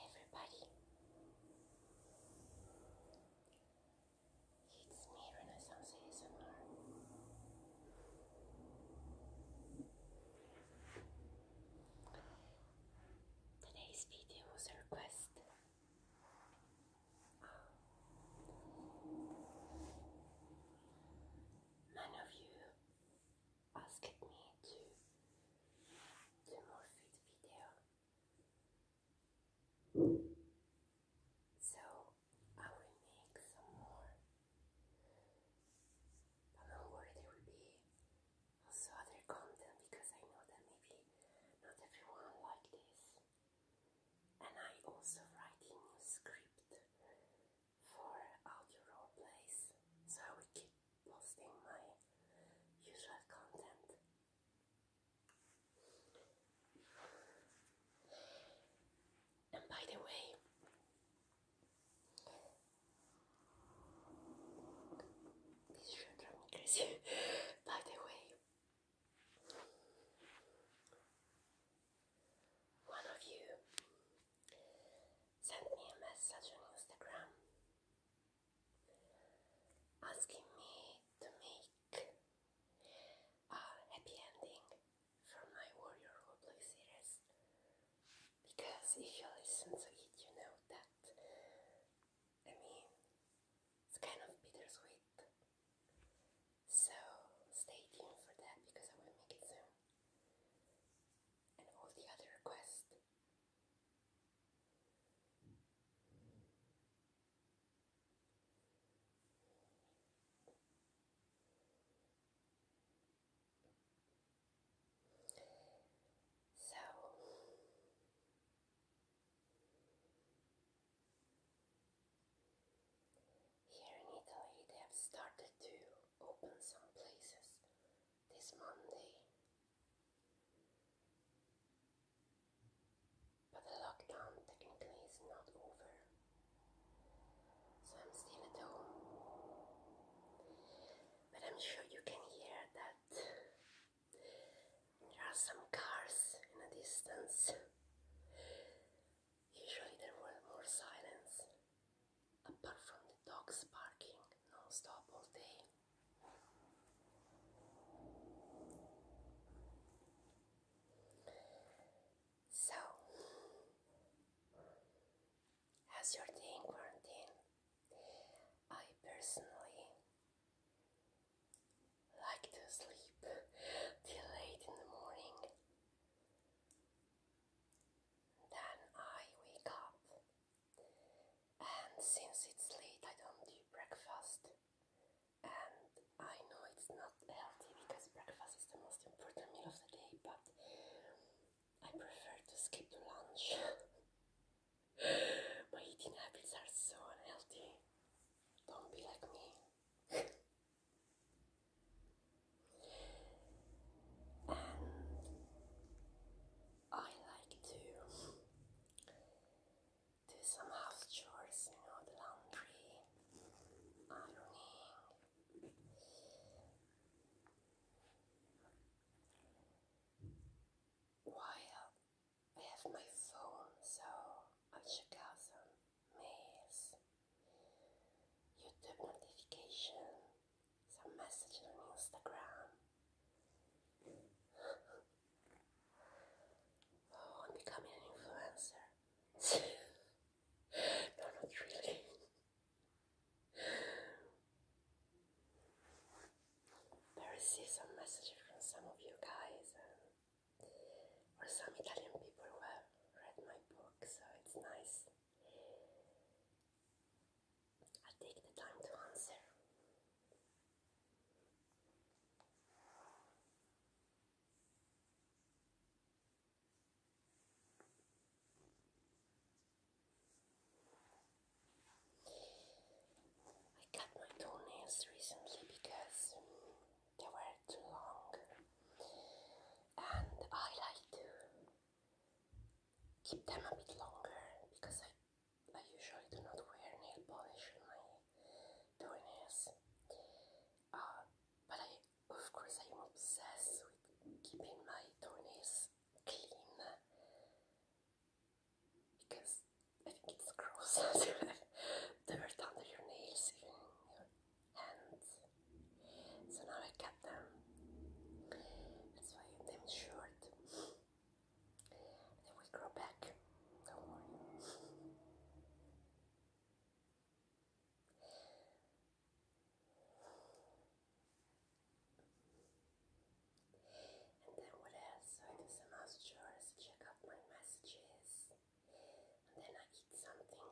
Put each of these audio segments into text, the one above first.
Everybody, it's me, Renaissance ASMR. Today's video was a request. None of you asked me to do more food video. So I will make some more. But don't worry, there will be also other content because I know that maybe not everyone like this. And I also write new script for audio role so I will keep posting my usual content. And by the way, this should drive me crazy. by the way, one of you sent me a message on Instagram asking me to make a happy ending for my Warrior Roleplay series. Because if you listen to it, you know that, I mean, it's kind of bittersweet. So stay tuned for that because I will make it soon and all the other requests. So here in Italy, they have started to open some places this Monday. But the lockdown technically is not over. So I'm still at home. But I'm sure you can hear that there are some cars in a distance. Usually there were more silence, apart from the dogs barking non all day. So, how's your day in quarantine? I personally like to sleep till late in the morning. Then I wake up, and since it's late, I don't do breakfast. And I know it's not healthy because breakfast is the most important meal of the day, but I prefer to skip to lunch. My eating habits are so unhealthy. Don't be like me. And um, I like to do some house chores, you know, the laundry, ironing. While I have my phone, so I'll check some mails, YouTube notification, some messages on Instagram. oh, I'm becoming an influencer. no, not really. I received some messages from some of you guys, and, or some Italian people who have read my book so it's nice. I take the time to answer. I cut my toenails recently because they were too long. And I like to keep them a bit longer because I, I usually do not wear nail polish on my toenails. Uh, but I, of course, I am obsessed with keeping my toenails clean because I think it's gross to have dirt under your nails, hands. So now I cut them. That's why they're short. They will grow back. Don't worry. And then what else? I do some house check out my messages then I eat something.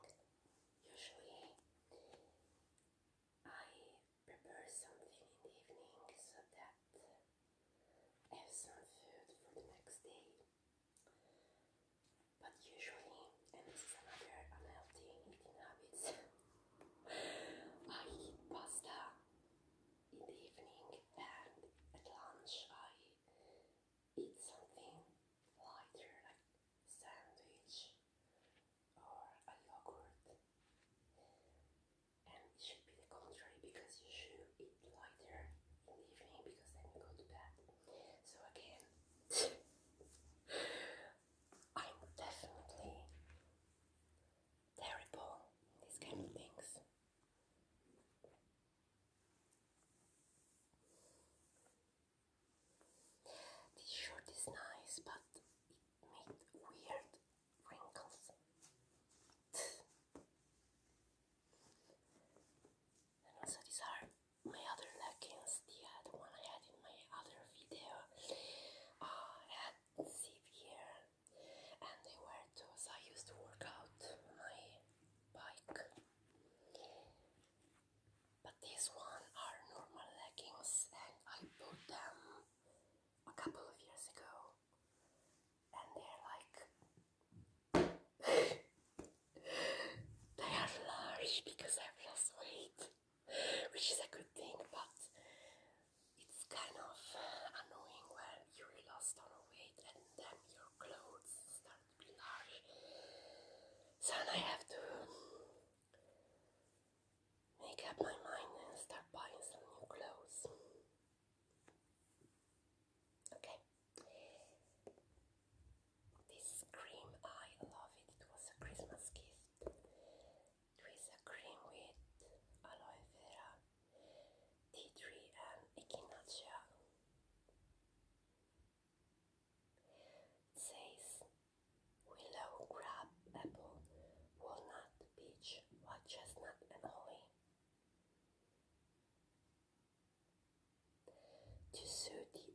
Usually I prepare something in the evening so that have some food for the next day. But usually, and this is another unhealthy eating habits, I eat pasta in the evening and at lunch I eat something lighter like sandwich or a yogurt. And it should be the contrary because you should eat lighter in the evening because then go to bed. So again, I'm definitely terrible in these kind of things. This shirt is nice, but it made weird wrinkles. and also these are my other leggings, the one I had in my other video. Ah, had zip and they were those I used to work out my bike. But these one are normal leggings and I bought them a couple of years ago and they're like they are large because I've lost weight which is a good thing but it's kind of annoying when you lost all weight and then your clothes start large. I have to make up my mind and start buying some new clothes. Okay. This cream, I love it. It was a Christmas gift. It a cream with aloe vera, tea tree, and echinacea says willow, crab, apple, walnut, peach, white chestnut, and holly. To suit the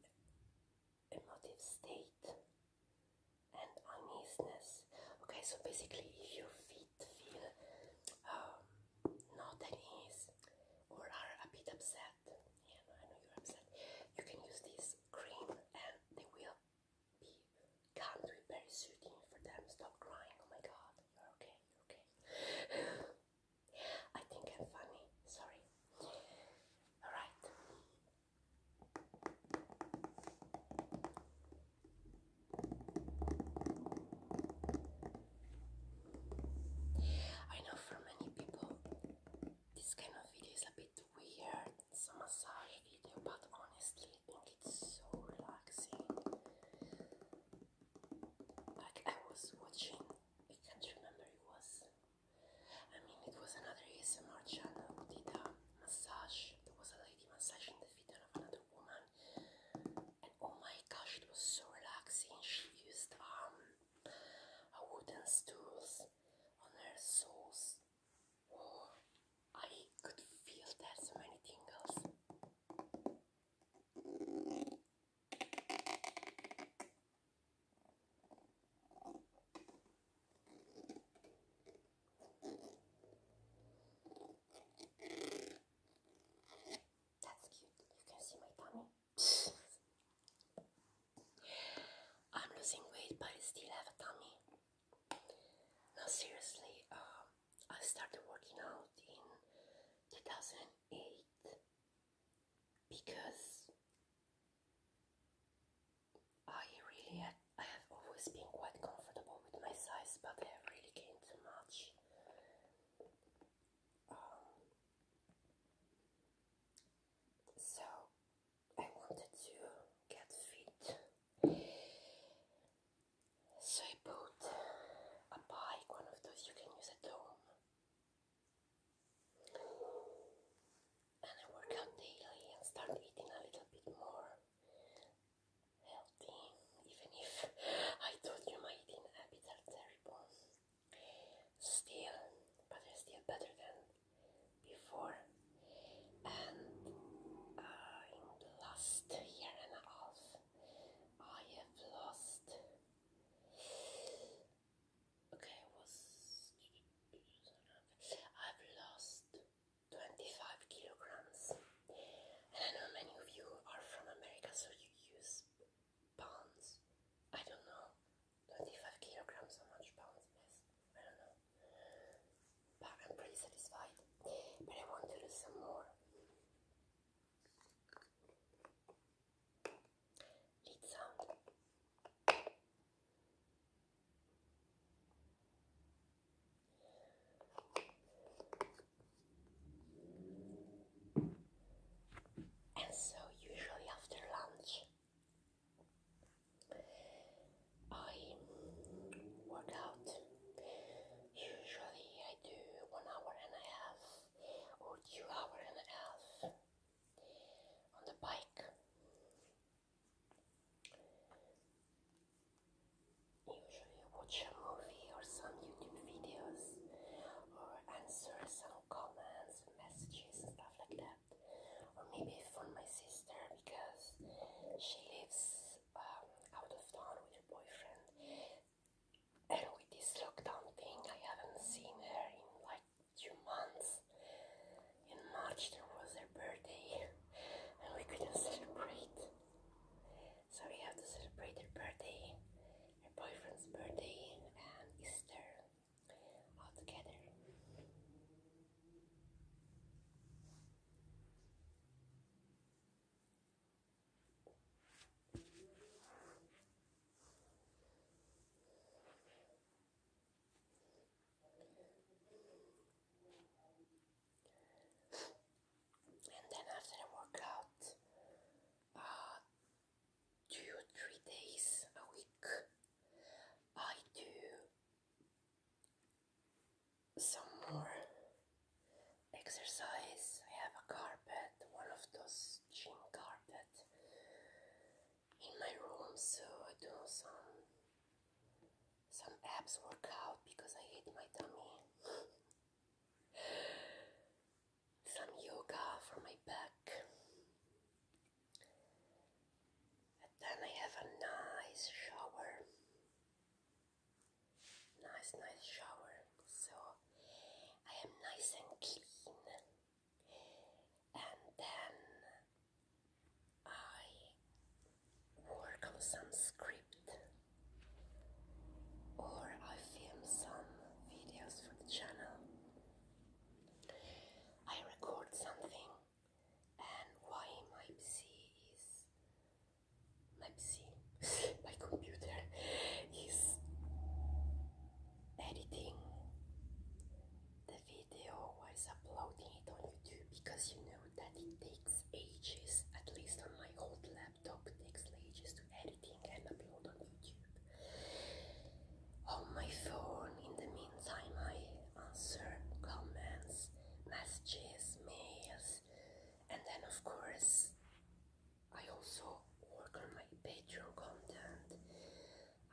emotive state and uneasiness. Okay, so basically, if your feet feel um, not at or are a bit upset, yeah, I know you're upset, you can use this cream and they will be calm to be very soothing for them. Stop crying, oh my god, you're okay, you're okay. I think I'm funny, sorry. Alright. I know for many people this kind of video is a bit weird, it's a massage video, but honestly, I think it's so relaxing. Like, I was watching, I can't remember it was. I mean, it was another ASMR channel did a massage. There was a lady massaging the feet of another woman and oh my gosh, it was so relaxing. She used um a wooden stools on her soles. Oh, I could feel that so many tingles. That's cute. You can see my tummy. I'm losing weight, but I still have a tummy. No, seriously, um, I started working out in 2008 because I really I have always been quite comfortable with my size, but I really gained too much so I wanted to get fit, so I bought a bike, one of those you can use at home, and I work out daily and start eating a little bit more healthy, even if I told you my eating habits are terrible. Still, but it's still better than before. And uh, in last year and a half, I have lost. Okay, I've lost 25 kilograms. And I know many of you are from America, so you use pounds. I don't know. 25 kilograms, how much pounds it is. I don't know. But I'm pretty satisfied. But I want to lose some more. Lead sound. And so, usually after lunch, I work Usually, I do one hour and a half or two hour and a half on the bike usually watch a movie or some YouTube videos or answer some comments and messages and stuff like that. Or maybe for my sister because she lives um, out of town with her boyfriend. And with this lockdown thing, I haven't seen her in like two months. In March, there was her birthday, and we couldn't celebrate. So we have to celebrate her birthday, her boyfriend's birthday, and Easter all together and then after a workout, uh, two or three days a week, I do some more exercise. I have a carpet, one of those gym carpet in my room, so I do some some abs workout because I hate my tummy some yoga for my back. And then I have a nice shower. Nice, nice shower. So I am nice and clean. And then I work on some script or I film some videos for the channel. I record something and why my PC is my PC, my computer is editing the video while uploading it on YouTube because you know that it takes ages, at least on my old laptop, takes ages to editing and upload on YouTube. On my phone, in the meantime, I answer comments, messages, mails, and then, of course, I also work on my Patreon content.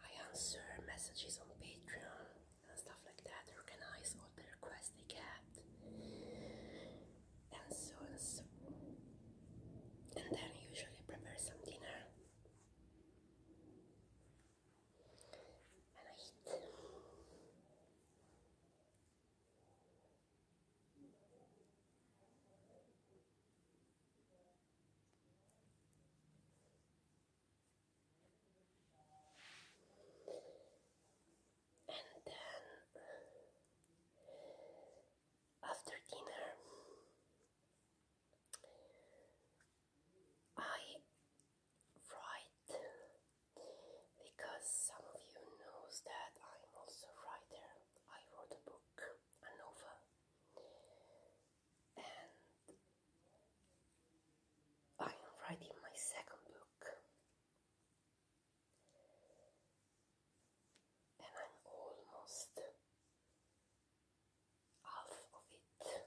I answer messages on Patreon and stuff like that, organize for the request they kept. And so, and then usually prepare some dinner. And I eat and then after dinner I write because some of you knows that I'm also writer. I wrote a book, a and I am writing my second book and I'm almost half of it.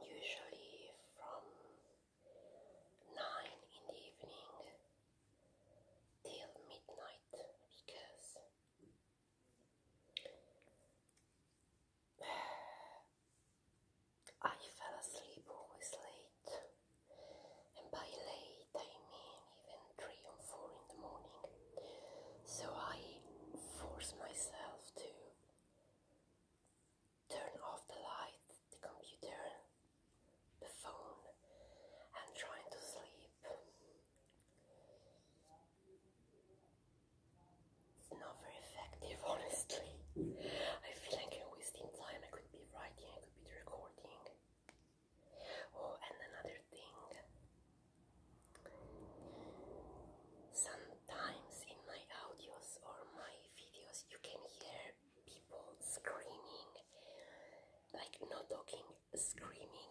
usually from nine in the evening till midnight because I fell asleep always late, and by late I mean even three or four in the morning. So I force myself to turn off the light, the computer, the phone, and trying to sleep. It's not very effective, honestly. I feel like I'm wasting time. I could be writing, I could be recording. Oh, and another thing. Sometimes in my audios or my videos, you can hear people screaming, like not talking, screaming,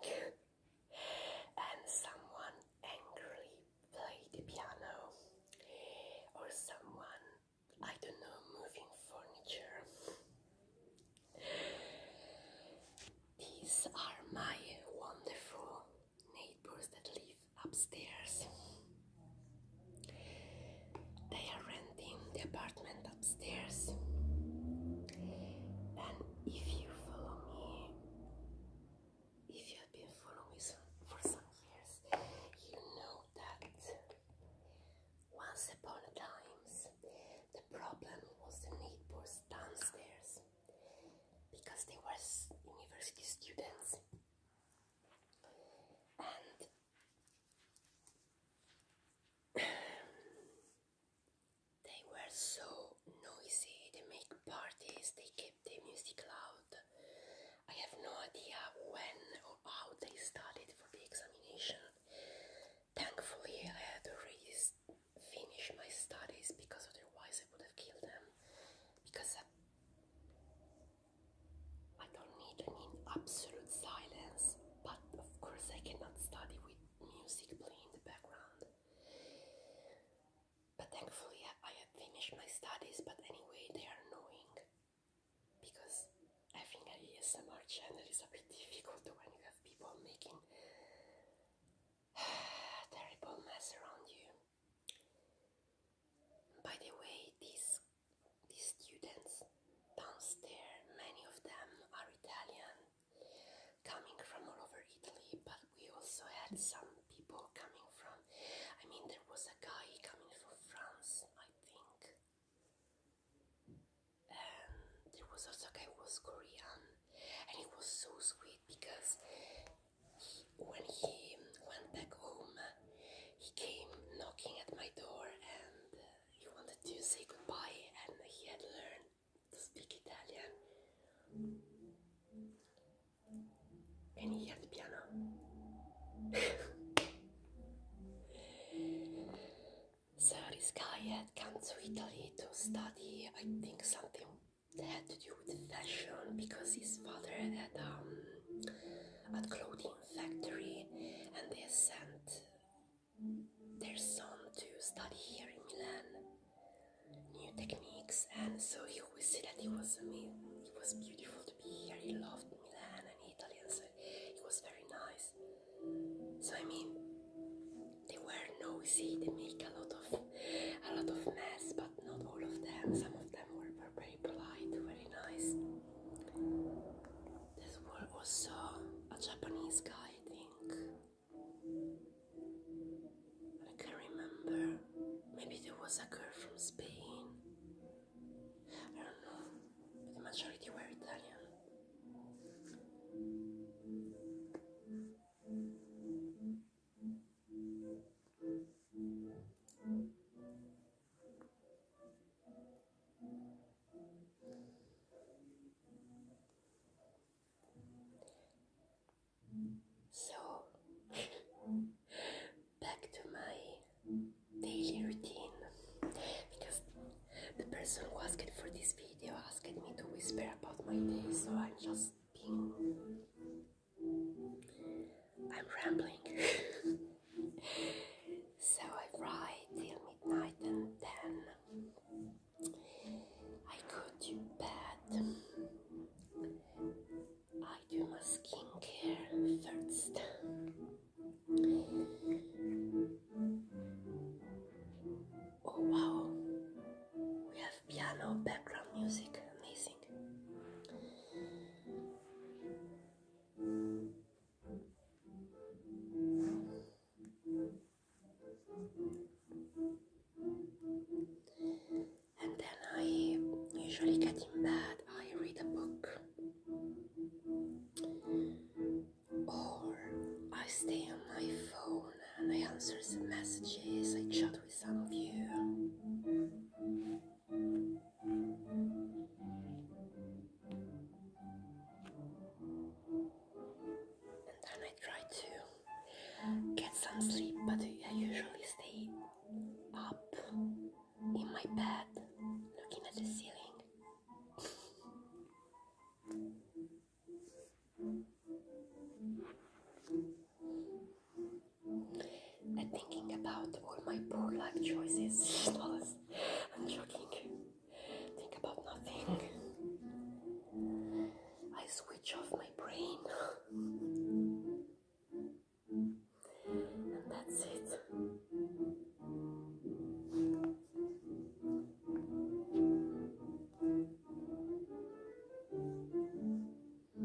and someone angrily played the piano, or someone, I don't know, moving furniture. These are my wonderful neighbors that live upstairs. They are renting the apartment upstairs. And if you follow me, if you have been following for some years, you know that once upon a times the problem was the neighbors downstairs because they were university students and they were so noisy, they make parties, they keep the music loud. I have no idea when or how they studied for the examination. Thankfully, I had already finished my studies because otherwise I would have killed them. Because I don't need an absolute silence, but of course I cannot study with music playing in the background. But thankfully I have finished my studies, but anyway they are annoying because having an ASMR channel is a bit difficult when you have people making terrible mess around you. By the way, these, these students downstairs, many of them are Italian, coming from all over Italy, but we also had some people coming from, I mean, there was a guy coming from France, I think, and there was also a guy was Korean, and it was so sweet because when he went back home, he came knocking at my door and uh, he wanted to say goodbye, and he had learned to speak Italian. And he had the piano. so this guy had come to Italy to study, I think, something that had to do with fashion because his father had um, a clothing factory and they sent their son to study here in Milan new techniques and so he always said that it was it was beautiful to be here he loved Milan and Italy and so it was very nice so I mean they were noisy they make a lot of a lot of mess but not all of them some of them were purple very very nice. This one also a Japanese guy, I think. I can't remember. Maybe there was a girl from Spain. I don't know. the majority were Italian. So, back to my daily routine because the person who asked for this video asked me to whisper about my day, so I'm just being I'm rambling. so I write till midnight and then I go to bed. I do my skincare first. Oh wow, we piano background music, amazing. And then I usually get in bed, I read a book, or I stay on my phone and I answer some messages, I chat with some of you. And then I try to get some sleep, but I usually stay up in my bed looking at the ceiling and thinking about all my poor life choices. I'm joking. Think about nothing. I switch off my brain. and that's it. I don't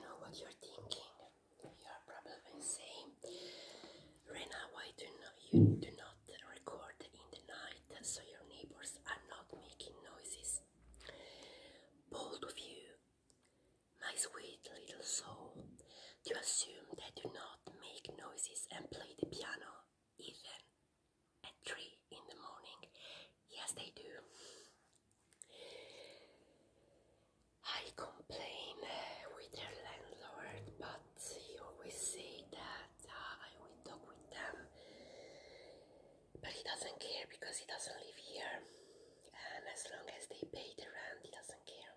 know what you're thinking. You're probably saying, Rena, why do not you do Record in the night so your neighbors are not making noises. Bold of you, my sweet little soul, to assume they do not make noises and play the piano even at three in the morning. Yes, they do. I complain with their landlord, but he always say that I will talk with them. But he doesn't care because he doesn't live here, and as long as they pay the rent, he doesn't care.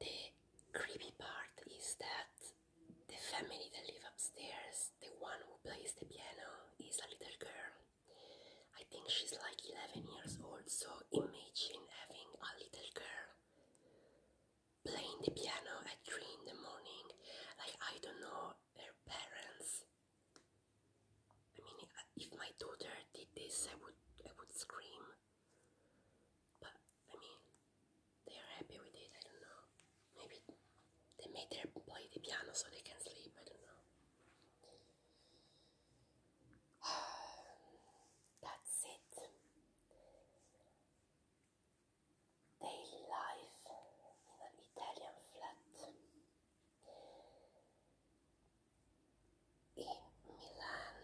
The creepy part is that the family that live upstairs, the one who plays the piano, is a little girl. I think she's like 11 years old, so imagine having a little girl playing the piano at three in the morning. Like I don't know her parents. I mean, if my daughter did this, I would I would scream. But I mean, they are happy with it. I don't know. Maybe they made her play the piano so they can sleep. I don't know. That's it daily life in an Italian flat in Milan.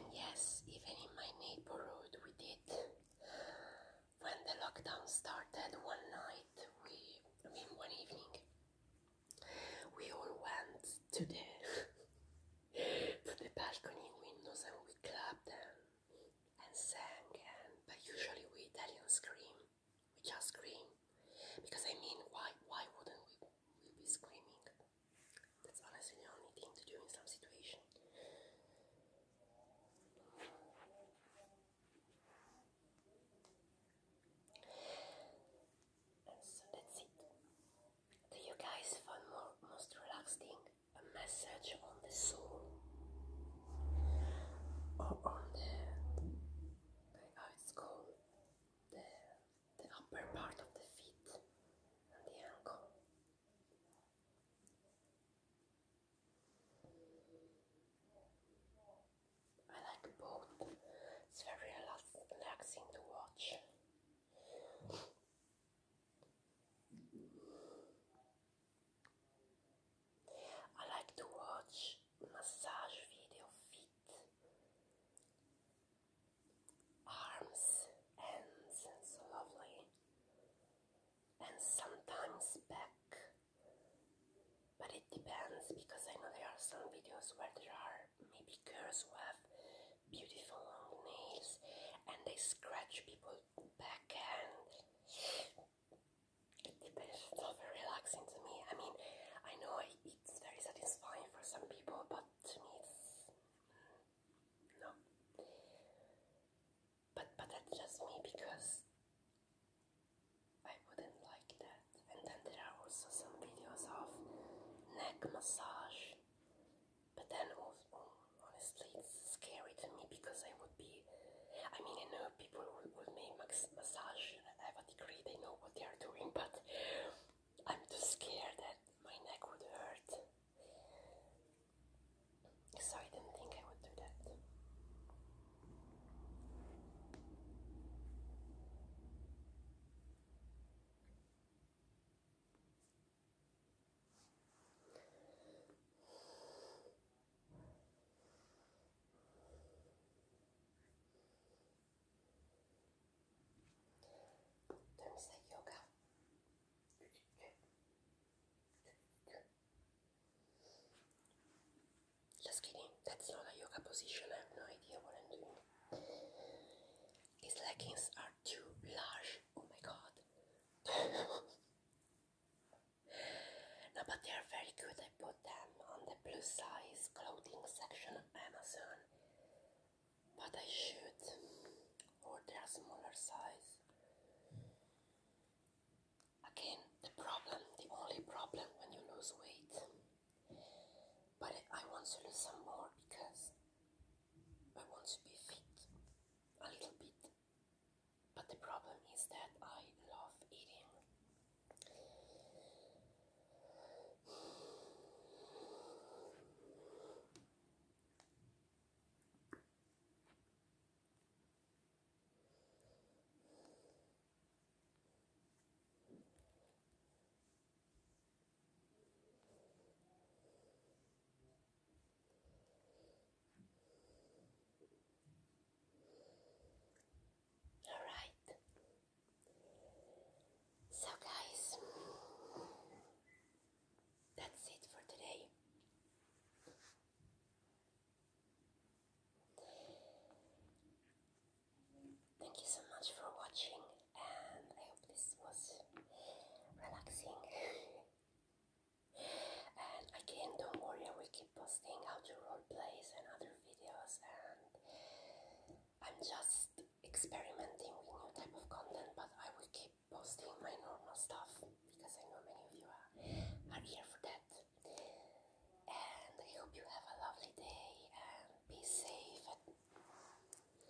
And yes, even in my neighborhood, we did when the lockdown started one night, we, I mean one evening, we all went to the, to the balcony windows and we clapped and, sang and, but usually we Italians scream, we just scream, because I mean why, why wouldn't we, we be screaming? That's honestly the only thing to do in some situation. And so that's it. Do you guys find more most relaxing a massage on the soul or on the how it's called the the upper part of the feet and the ankle? I like both. It's very relaxing to watch. I like to watch massage video feet, arms, hands, it's lovely and sometimes back. But it depends because I know there are some videos where there are maybe girls with beautiful long nails and they scratch people back and it depends. It's not very relaxing to me. I mean, I know it's very satisfying for some people, but to me it's mm, no but but that's just me because I wouldn't like that. And then there are also some videos of neck massage, but then honestly, it's scary to me because I would be. I mean, I know people would will make massage have a degree; they know what they are doing, but I'm too scared that my neck would hurt. So I didn't think I would do that. There is the yoga. Just kidding, that's not a yoga position, I have no idea what I'm doing. These leggings are too large, oh my god. no, but they are very good. I bought them on the plus size clothing section of Amazon, but I should order a smaller size. Again, the problem, the only problem when you lose weight. But I want to lose some more because I want to be fit a little bit. But the problem is that I love eating. All right. So, guys, that's it for today. Thank you so much for watching, and I hope this was relaxing. and again, don't worry, I will keep posting how to role plays and other videos, and I'm just experimenting with new type of content, but I will keep posting my normal stuff because I know many of you are, are here for that. And I hope you have a lovely day and be safe.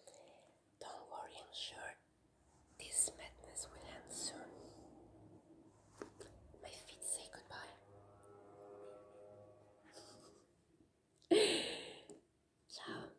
And don't worry, I'm sure this madness will end soon. My feet say goodbye. Ciao.